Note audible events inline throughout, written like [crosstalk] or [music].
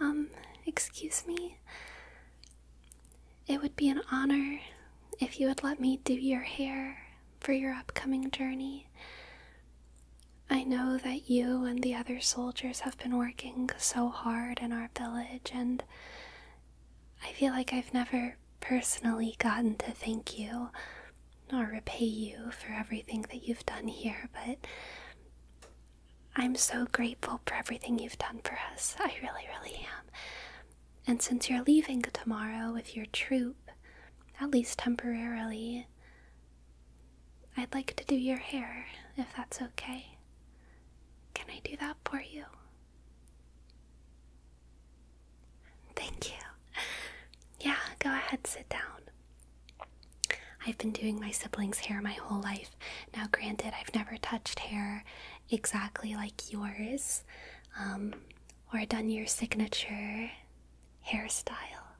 Um, excuse me? It would be an honor if you would let me do your hair for your upcoming journey. I know that you and the other soldiers have been working so hard in our village, and I feel like I've never personally gotten to thank you nor repay you for everything that you've done here, but I'm so grateful for everything you've done for us. I really, really am. And since you're leaving tomorrow with your troop, at least temporarily, I'd like to do your hair, if that's okay. Can I do that for you? Thank you. Yeah, go ahead, sit down. I've been doing my siblings' hair my whole life. Now, granted, I've never touched hair exactly like yours um, or done your signature hairstyle,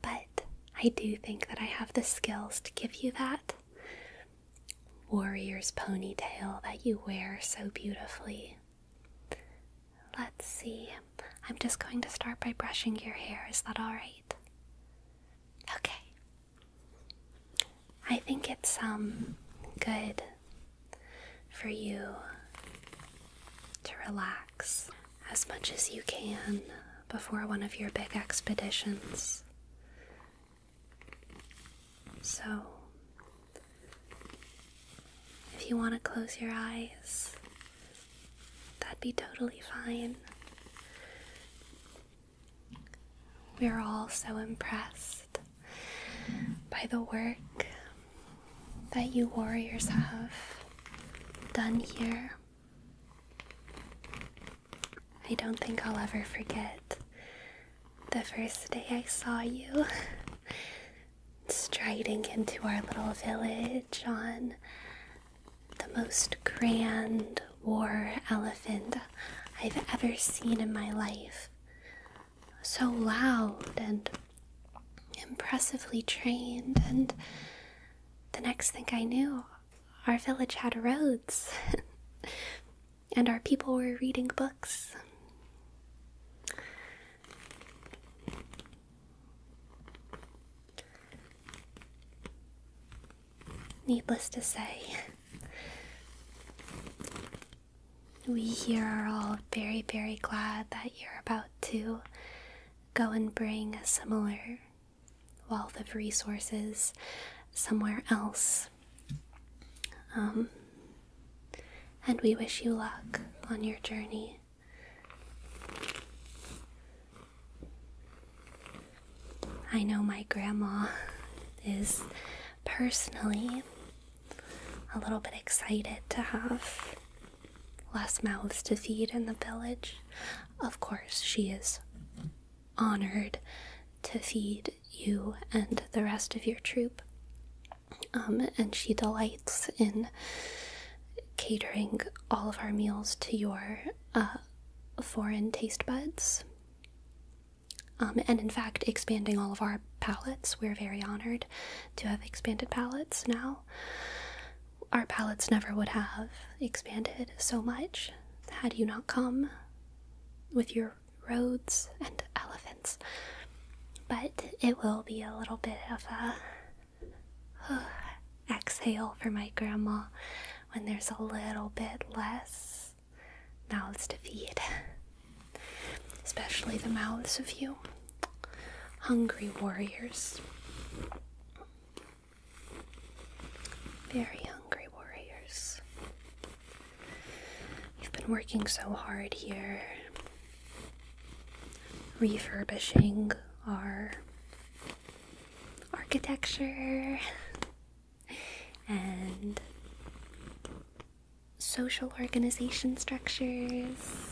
but I do think that I have the skills to give you that warrior's ponytail that you wear so beautifully. Let's see. I'm just going to start by brushing your hair. Is that alright? Okay. I think it's um good for you to relax as much as you can before one of your big expeditions. So, if you want to close your eyes That'd be totally fine. We're all so impressed by the work that you warriors have done here. I don't think I'll ever forget the first day I saw you [laughs] striding into our little village on the most grand war elephant I've ever seen in my life. So loud and impressively trained, and the next thing I knew, our village had roads, [laughs] and our people were reading books. Needless to say, we here are all very, very glad that you're about to go and bring a similar wealth of resources somewhere else. Um, and we wish you luck on your journey. I know my grandma is personally a little bit excited to have less mouths to feed in the village. Of course, she is honored to feed you and the rest of your troop. Um, and she delights in catering all of our meals to your uh, foreign taste buds. Um, and in fact, expanding all of our palettes. We're very honored to have expanded palettes now. Our palettes never would have expanded so much had you not come with your roads and [laughs] elephants. But it will be a little bit of a [sighs] Exhale for my grandma when there's a little bit less mouths to feed, [sighs] especially the mouths of you hungry warriors. Very hungry warriors. You've been working so hard here refurbishing our architecture and social organization structures.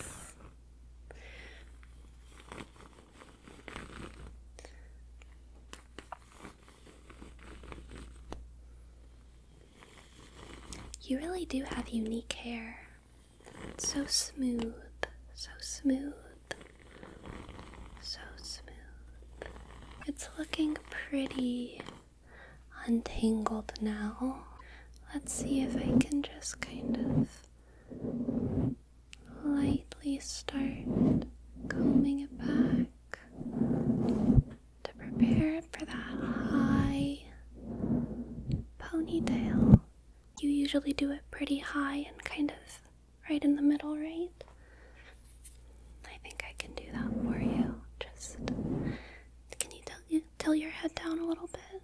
You really do have unique hair. So smooth, so smooth, so smooth. It's looking pretty untangled now. Let's see if I can just kind of lightly start combing it back to prepare it for that high ponytail, you usually do it pretty high and kind of right in the middle, right? I think I can do that for you. Just can you tilt, you tilt your head down a little bit?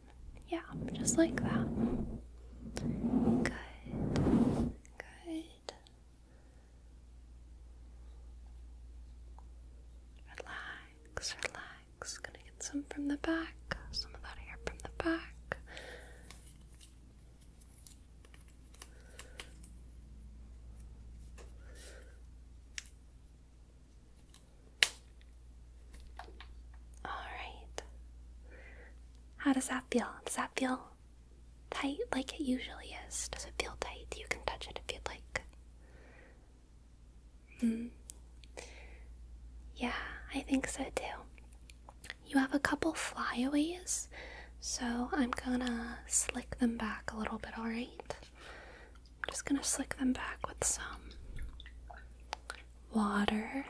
Yeah, just like that. Good. Good. Relax, relax legs. Gonna get some from the back, some of that hair from the back. All right. How does that feel? Does that feel tight like it usually is? Does it feel tight? You can touch it if you'd like. Hmm. Yeah, I think so too. You have a couple flyaways, so I'm gonna slick them back a little bit, alright? I'm just gonna slick them back with some water.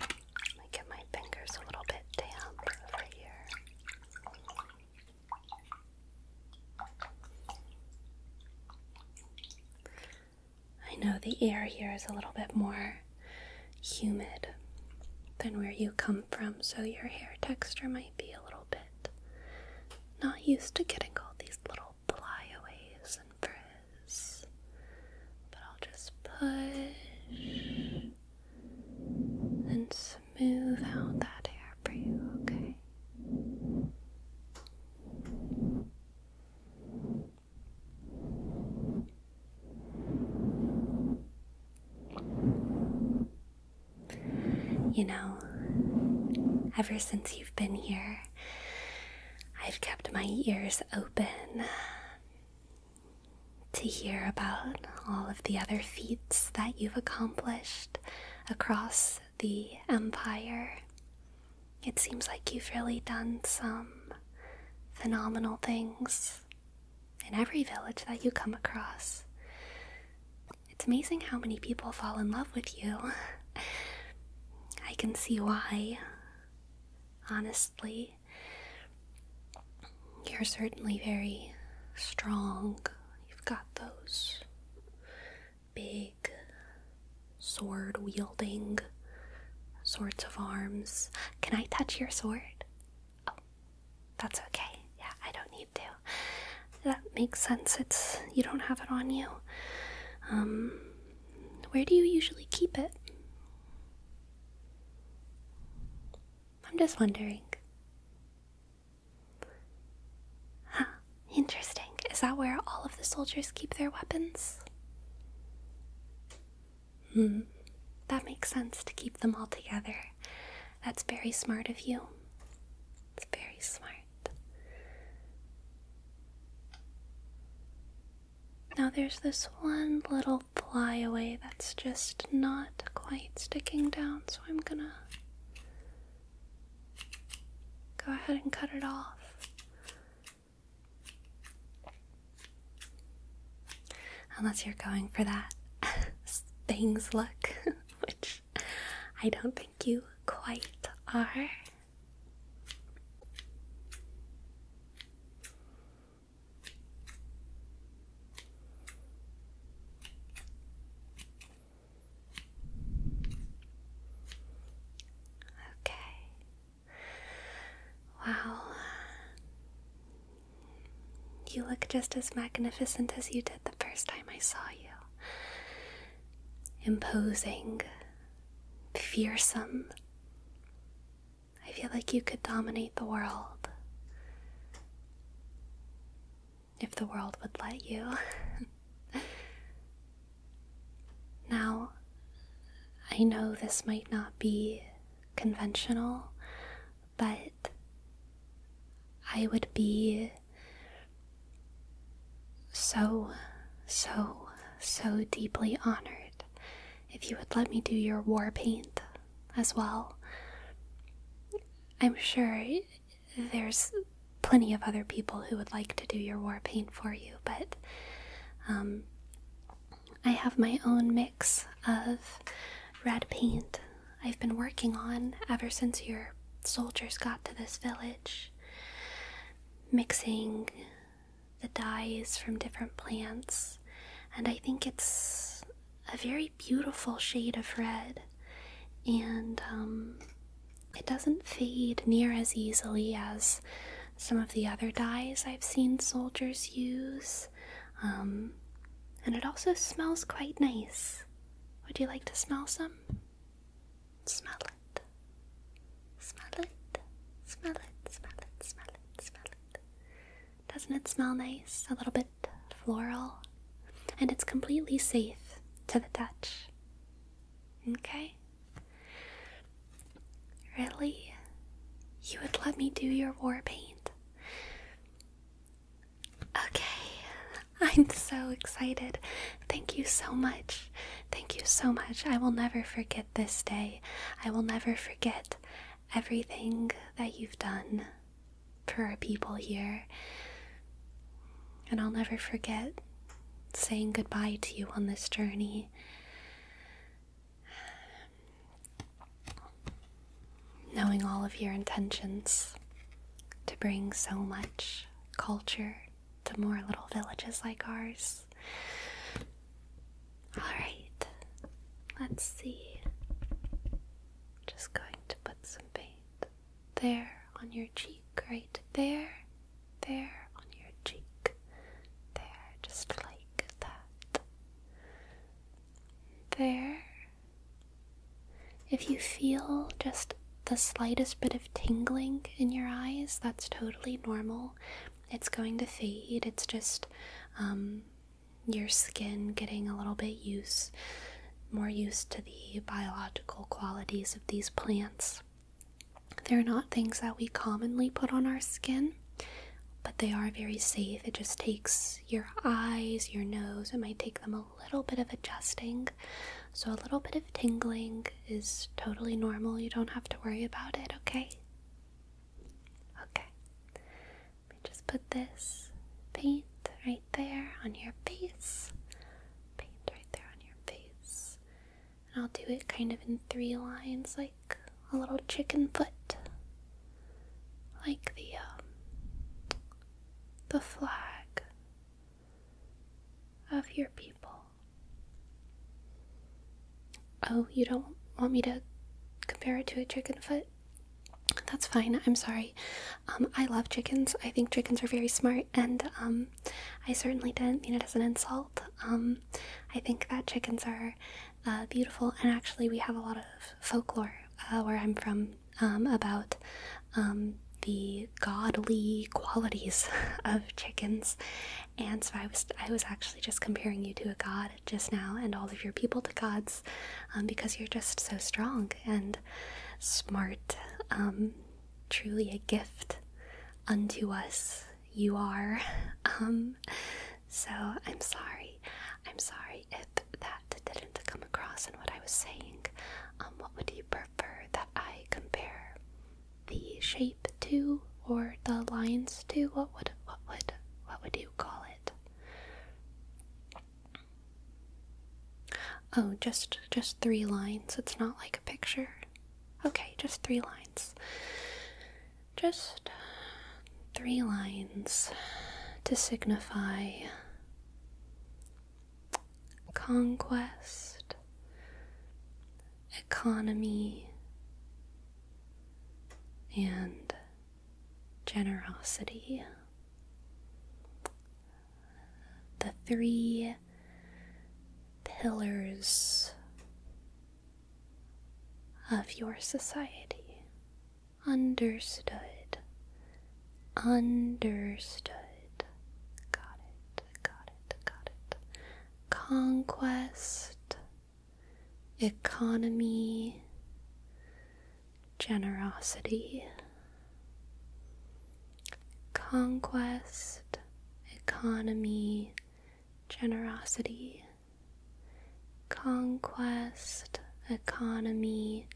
Let me get my fingers a little bit damp over here. I know the air here is a little bit more humid than where you come from, so your hair texture might be a little bit not used to getting all these little flyaways and frizz. But I'll just push and smooth out that hair for you, okay? You know, ever since you've been here, I've kept my ears open to hear about all of the other feats that you've accomplished across the empire. It seems like you've really done some phenomenal things in every village that you come across. It's amazing how many people fall in love with you. [laughs] I can see why, honestly. You're certainly very strong. You've got those big sword wielding sorts of arms. Can I touch your sword? Oh, that's okay. Yeah, I don't need to. That makes sense. It's you don't have it on you. Um, where do you usually keep it? I'm just wondering. Huh, interesting. Is that where all of the soldiers keep their weapons? Hmm, that makes sense to keep them all together. That's very smart of you. It's very smart. Now there's this one little flyaway that's just not quite sticking down, so I'm gonna Go ahead and cut it off. Unless you're going for that [laughs] things look, [laughs] which I don't think you quite are. Okay. Wow. You look just as magnificent as you did the first time I saw you. Imposing, fearsome. I feel like you could dominate the world if the world would let you. [laughs] now, I know this might not be conventional, but I would be so, so, so deeply honored if you would let me do your war paint as well. I'm sure there's plenty of other people who would like to do your war paint for you, but um, I have my own mix of red paint I've been working on ever since your soldiers got to this village. Mixing the dyes from different plants, and I think it's a very beautiful shade of red, and um, it doesn't fade near as easily as some of the other dyes I've seen soldiers use. Um, and it also smells quite nice. Would you like to smell some? Smell it. Smell it. Smell it. Smell it. Smell it. Smell it. Doesn't it smell nice? A little bit floral. And it's completely safe to the touch. Okay? Really? You would let me do your war paint? Okay, [laughs] I'm so excited. Thank you so much. Thank you so much. I will never forget this day. I will never forget everything that you've done for our people here. And I'll never forget saying goodbye to you on this journey. Knowing all of your intentions to bring so much culture to more little villages like ours. Alright, let's see. Just going to put some paint there on your cheek, right there, there on your cheek, there, just like that. There. If you feel just the slightest bit of tingling in your eyes, that's totally normal. It's going to fade. It's just um, your skin getting a little bit used, more used to the biological qualities of these plants. They're not things that we commonly put on our skin, but they are very safe. It just takes your eyes, your nose, it might take them a little bit of adjusting. So, a little bit of tingling is totally normal. You don't have to worry about it, okay? Okay. Let me just put this paint right there on your face. Paint right there on your face. And I'll do it kind of in three lines, like a little chicken foot. Like the, um, the flag of your people. Oh, you don't want me to compare it to a chicken foot? That's fine. I'm sorry. Um, I love chickens. I think chickens are very smart, and um, I certainly didn't mean it as an insult. Um, I think that chickens are uh, beautiful, and actually, we have a lot of folklore uh, where I'm from about the godly qualities [laughs] of chickens. And so I was I was actually just comparing you to a god just now and all of your people to gods um, because you're just so strong and smart. Um, truly a gift unto us, you are. [laughs] Um, so I'm sorry. I'm sorry if that didn't come across in what I was saying. what would you prefer that I compare the shape to or the lines to? What would what would what would you call it? Oh, just just three lines. It's not like a picture. Okay, just three lines. Just three lines to signify conquest, economy, and generosity. The three pillars of your society. Understood. Understood. Got it, got it, got it. Conquest, economy, generosity, conquest, economy, generosity, conquest, economy,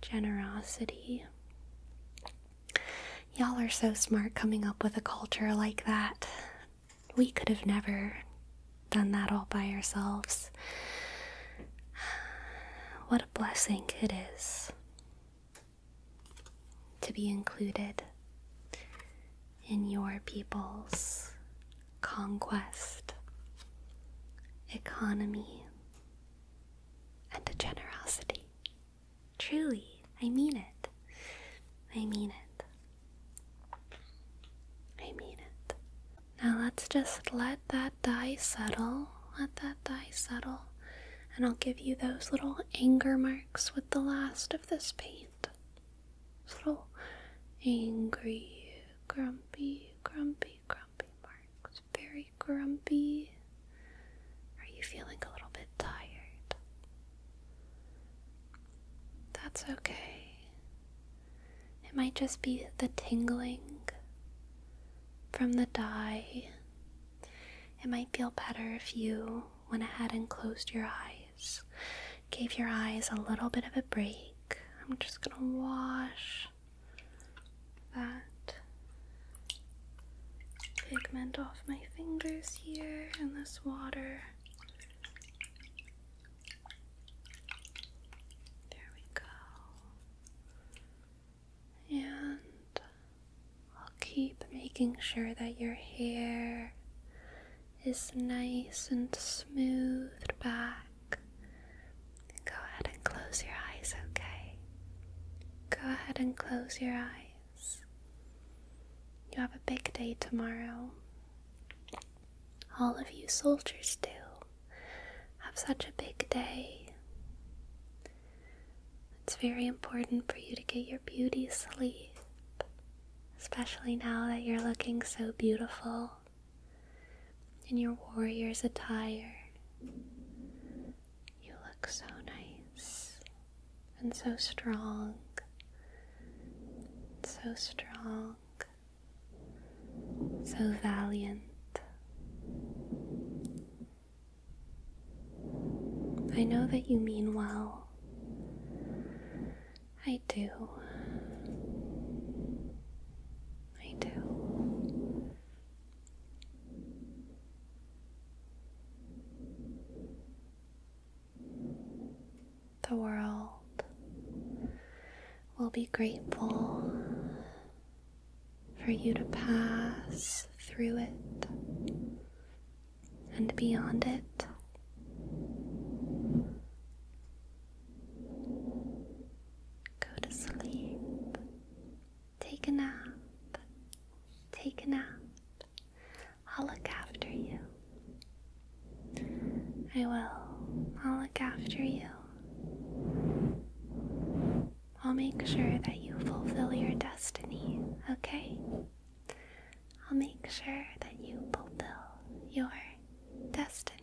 generosity. Y'all are so smart coming up with a culture like that we could have never done that all by ourselves. [sighs] What a blessing it is to be included in your people's conquest, economy, and generosity. Truly, I mean it. I mean it. I mean it. Now let's just let that die settle. Let that die settle. And I'll give you those little anger marks with the last of this paint. Those little angry, grumpy, grumpy, grumpy marks. Very grumpy. Are you feeling a little bit tired? That's okay. It might just be the tingling from the dye. It might feel better if you went ahead and closed your eyes, gave your eyes a little bit of a break. I'm just gonna wash that pigment off my fingers here in this water there we go. And I'll keep making sure that your hair is nice and smoothed back. Go ahead and close your eyes, okay? Go ahead and close your eyes. You have a big day tomorrow. All of you soldiers do. Have such a big day. It's very important for you to get your beauty sleep, especially now that you're looking so beautiful in your warrior's attire. You look so nice and so strong, so strong, so valiant. I know that you mean well. I do. I do. The world will be grateful for you to pass through it and beyond it. Go to sleep. Take a nap. Take a nap. I'll look after you. I will. I'll look after you. I'll make sure that you fulfill your destiny, okay? I'll make sure that you fulfill your destiny.